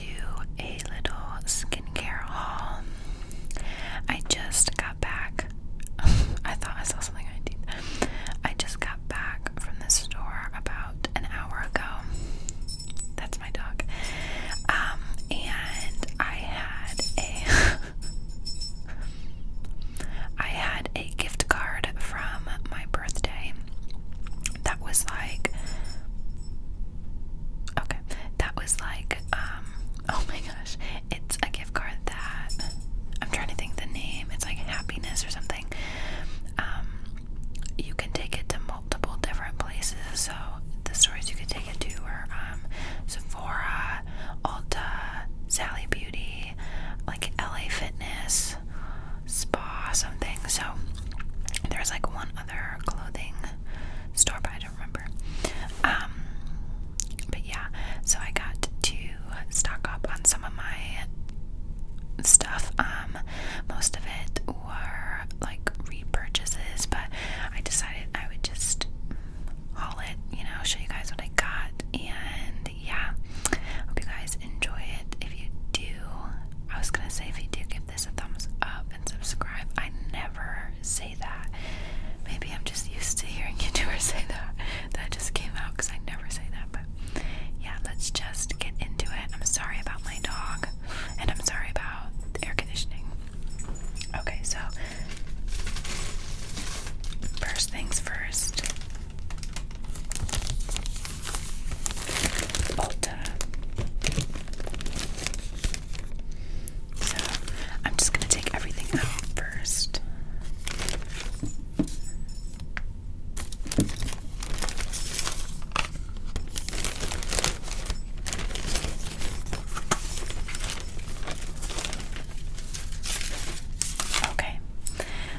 do a little skincare haul. I just got back. I thought I saw something I did. I just got back from the store about an hour ago. That's my dog. Um, and I had a I had a gift card from my birthday that was like okay, that was like um, oh my gosh, it's a gift card that I'm trying to think the name. It's like happiness or something. Um, you can take it to multiple different places. So the stores you could take it to are um, Sephora, Ulta, Sally Beauty, like LA Fitness, Spa, something. So there's like one other clothing store, but I remember. Um, but yeah, so I got to stock up on some of my stuff. Um, most of it were like repurchases, but I decided I would just haul it, you know, show you guys what I got. And yeah, hope you guys enjoy it. If you do, I was gonna say if you do give this a thumbs up and subscribe. I never say that. Maybe I'm just used to hearing YouTubers say that. That just came out because I never say that. But yeah, let's just get into it. I'm sorry about my dog, and I'm sorry about the air conditioning. Okay, so first things first. Ulta. So I'm just gonna take everything out first. Okay,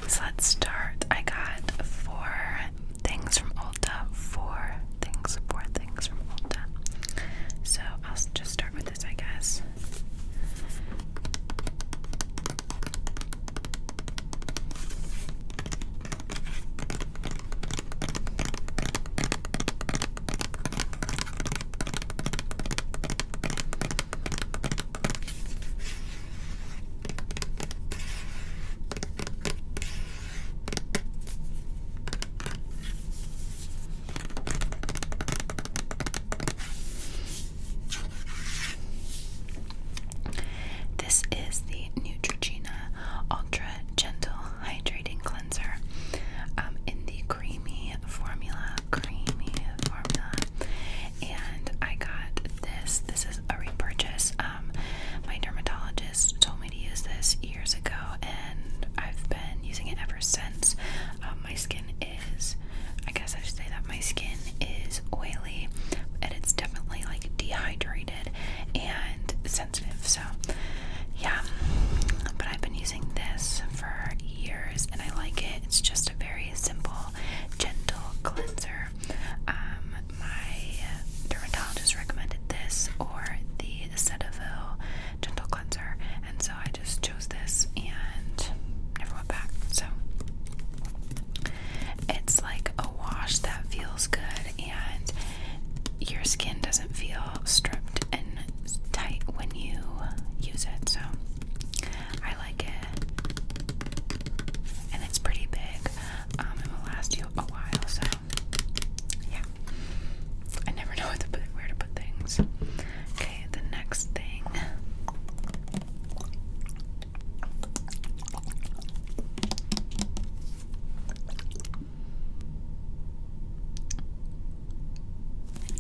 so let's start. I got four things from Ulta. Four things. Four things from Ulta. So I'll just start with this, I guess. This is the Neutrogena Ultra Gentle Hydrating Cleanser um, in the creamy formula, creamy formula. And I got this. This is a repurchase. Um, my dermatologist told me use this years ago, and I've been using it ever since. Um, my skin is, I guess I should say that my skin is oily, and it's definitely like dehydrated and sensitive. So, yeah. But I've been using this for years, and I like it. It's just a very simple, gentle cleanser. Um, my dermatologist recommended this or the Cetaphil Gentle Cleanser, and so I just chose this and never went back. So it's like a wash that feels good, and your skin doesn't feel stripped and tight when you use it. So I like it, and it's pretty big, um, it will last you a while. So yeah. I never know what to put, where to put things. Okay, the next thing.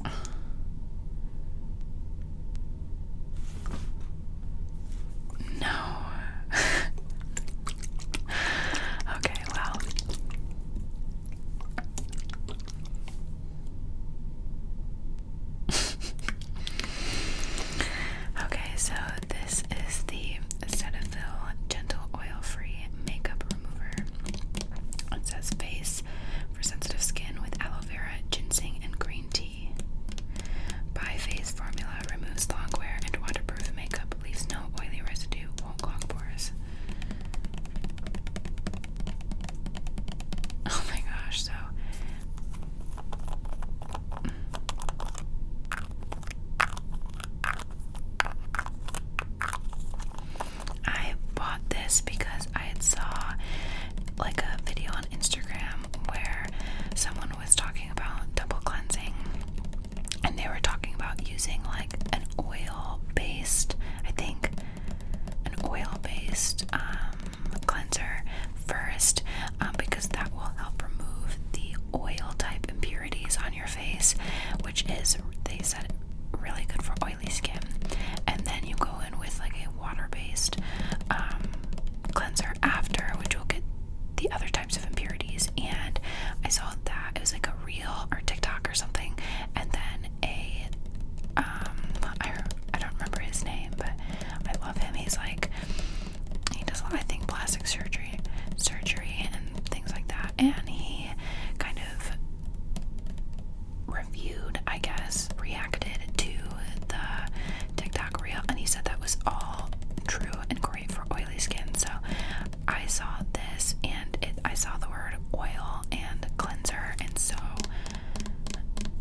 No. okay, wow. okay, so this is the Cetaphil Gentle Oil Free Makeup Remover. It says face for sensitive skin with aloe vera, ginseng, and green tea. bi Phase formula removes long wear and waterproof makeup Leaves no oily residue, won't clog pores. Oh my gosh, so I bought this because I saw like a video on Instagram where someone was talking about double cleansing and they were talking about using like an oil based, I think, an oil based um, cleanser first um, because that will help remove the oil type impurities on your face, which is, they said, really good for oily skin. And then you go in with like a water based um, cleanser after, which will get the other types of impurities, and I saw that it was like a real or TikTok or something, and then a um, I I don't remember his name, but I love him. He's like he does a lot, I think, plastic surgery, surgery, and things like that, and he kind of reviewed, I guess, reacted to the TikTok reel, and he said that was all true and great for skin, so I saw this and it, I saw the word oil and cleanser, and so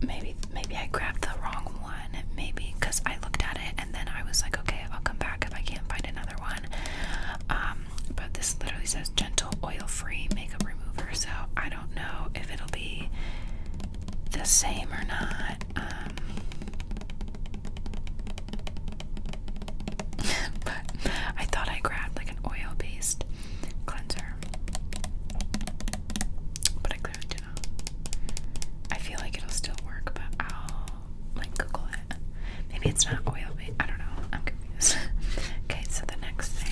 maybe maybe I grabbed the wrong one, maybe because I looked at it and then I was like, okay, I'll come back if I can't find another one. Um, but this literally says gentle oil-free makeup remover, so I don't know if it'll be the same or not. Um, but I thought I grabbed like an oil based cleanser. But I clearly did not. I feel like it'll still work, but I'll like Google it. Maybe it's not oil based. I don't know. I'm confused. okay, so the next thing.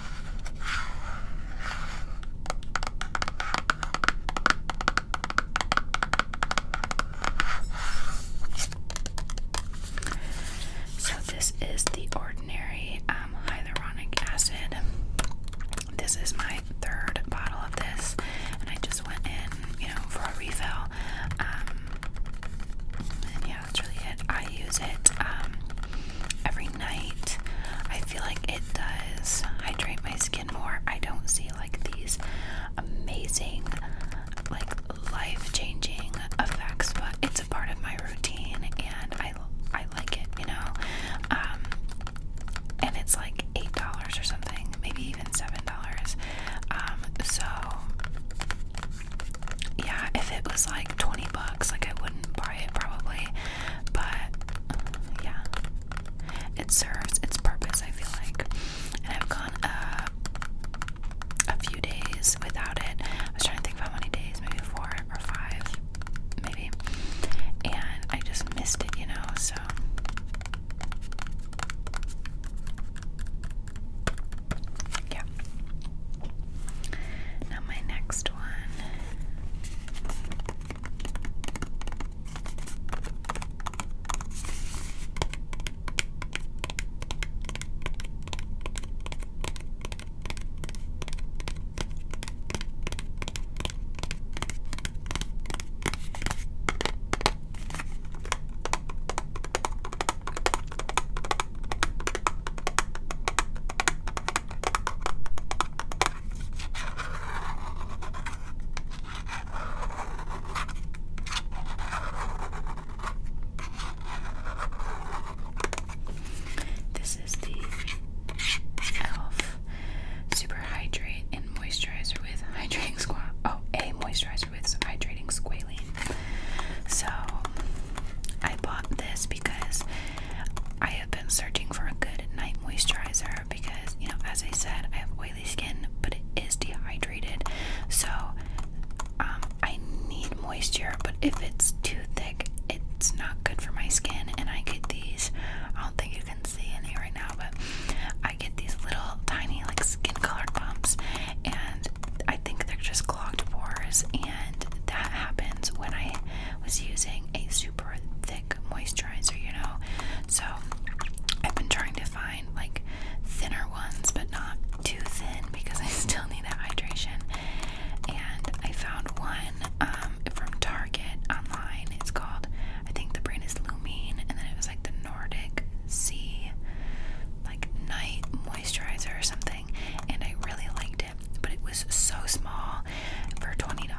So, this is the ordinary um, hyaluronic acid. This is my third bottle of this, and I just went in, you know, for a refill. Um, that's really it. I use it um, every night. I feel like it does hydrate my skin more. I don't see like these amazing, like life-changing effects, but it's a part of my routine, and I I like it, you know. Um, and it's like eight dollars or something, maybe even seven dollars. Um, so yeah, if it was like 20 bucks, like I wouldn't buy it probably. But yeah, it serves its purpose, I feel like. And I've gone a few days without it. I was trying to think of how many days, maybe four or five, maybe. And I just missed it, you know, so. Yeah. Now, my next one this is the e.l.f. Super Hydrate and Moisturizer with Hydrating Squat. Oh, a moisturizer with Hydrating Squalene. So I bought this because I have been searching for a good night moisturizer because, you know, as I said, I have oily skin, but it is dehydrated. So um, I need moisture, but if it's too thick, it's not good for my skin. And I get these, I don't think you can see any right now, but I get these little tiny, like skin colored bumps, and I think they're just clogged pores. And and that happens when I was using a super thick moisturizer, you know. So I've been trying to find like thinner ones, but not too thin because I still need that hydration. And I found one um, from Target online. It's called, I think the brand is Lumine, and then it was like the Nordic Sea, like night moisturizer or something and I really liked it, but it was so small for $20,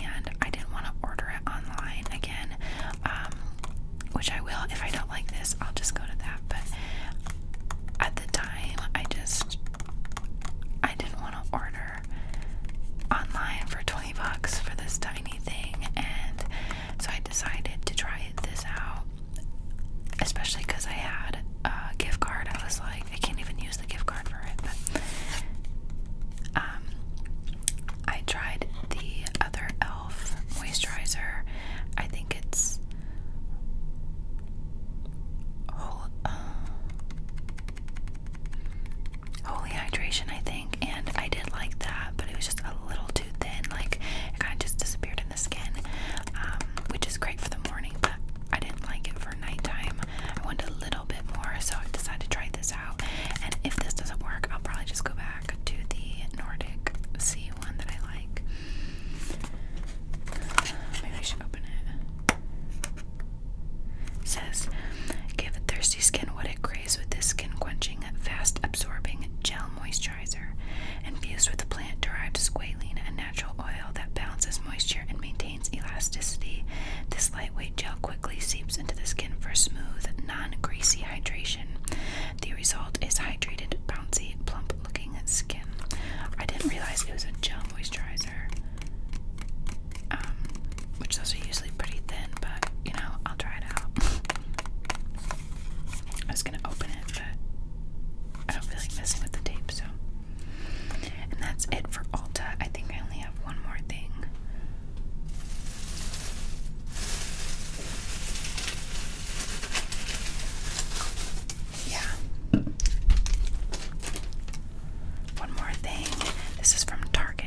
and I didn't want to order it online again, um, which I will. If I don't like this, I'll just go to that, but at the time, I just, I didn't want to order online for 20 bucks for this tiny thing, and so I decided to try this out especially because I had a gift card, I was like, I can't even use the gift card for it. But um, I tried the other e.l.f. moisturizer. I think it's uh, Holy Hydration, I think. And I did like that, but it was just a little too thin. Like, it kind of just disappeared the skin, um, which is great for the morning, but I didn't like it for nighttime. I wanted a little bit more, so I decided to try this out. And if this doesn't work, I'll probably just go back to the Nordic Sea one that I like. Maybe I should open it. says, give thirsty skin what it craves with this skin quenching, fast absorbing gel moisturizer. Infused with the plant derived squalene, and natural oil that balances moisture and maintains elasticity, this lightweight gel quickly seeps into the skin for smooth, non greasy hydration. The result is hydrated, bouncy, plump looking skin. I didn't realize it was a gel moisturizer, um, which those are usually pretty thin, but you know, I'll try it out. I was gonna open it, but I don't feel like messing with the tape, so. And that's it for Ulta. I think I only have one more thing. Yeah. One more thing. This is from Target.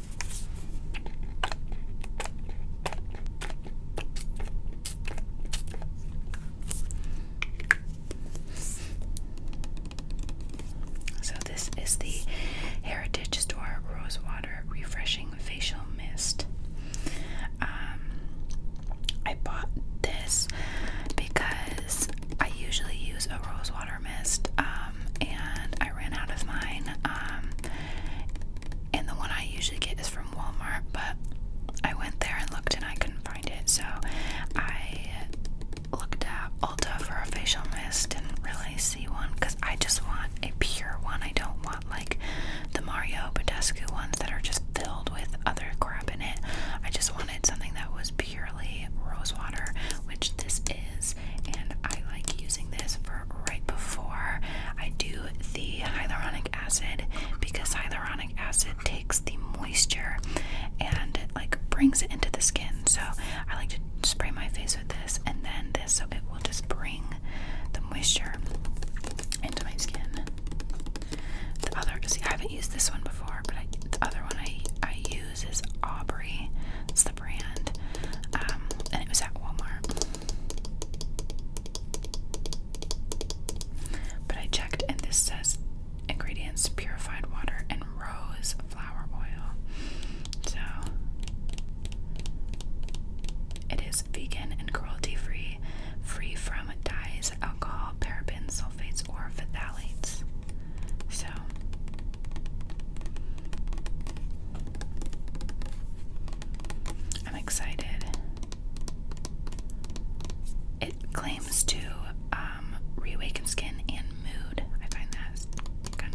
So, this is the Heritage Store Rosewater Refreshing Facial Mist. Um, I bought this because I usually use a rosewater mist. Uh, um, and I ran out of mine. Um, and the one I usually get is from Walmart, but I went there and looked and I couldn't find it, so I looked at Ulta for a facial mist. Didn't really see one because I just want a pure one. I don't want like the Mario Badescu ones that are just filled with other crap in it. I just wanted something that was pure purely rose water, which this is, and I like using this for right before I do the hyaluronic acid because hyaluronic acid takes the moisture and it like brings it into the skin. So I like to spray my face with this and then this so it will just bring the moisture into my skin. The other see I haven't used this one before, but the other one I I use is Aubrey brand, um, and it was at Walmart. But I checked, and this says ingredients purified water and rose flower oil. So it is vegan and cruelty free, free from dyes, alcohol, parabens, sulfates, or phthalates. So I'm excited. It claims to um, reawaken skin and mood. I find that kind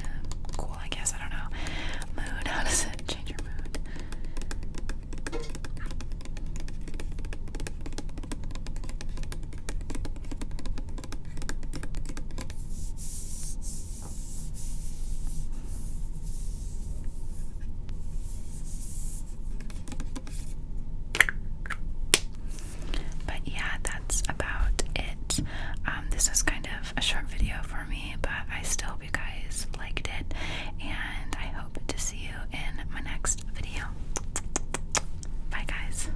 of cool, I guess. I don't know. Mood, how does it change your mood? But yeah, that's about it. Um, this was kind of a short video for me, but I still hope you guys liked it, and I hope to see you in my next video. Bye, guys.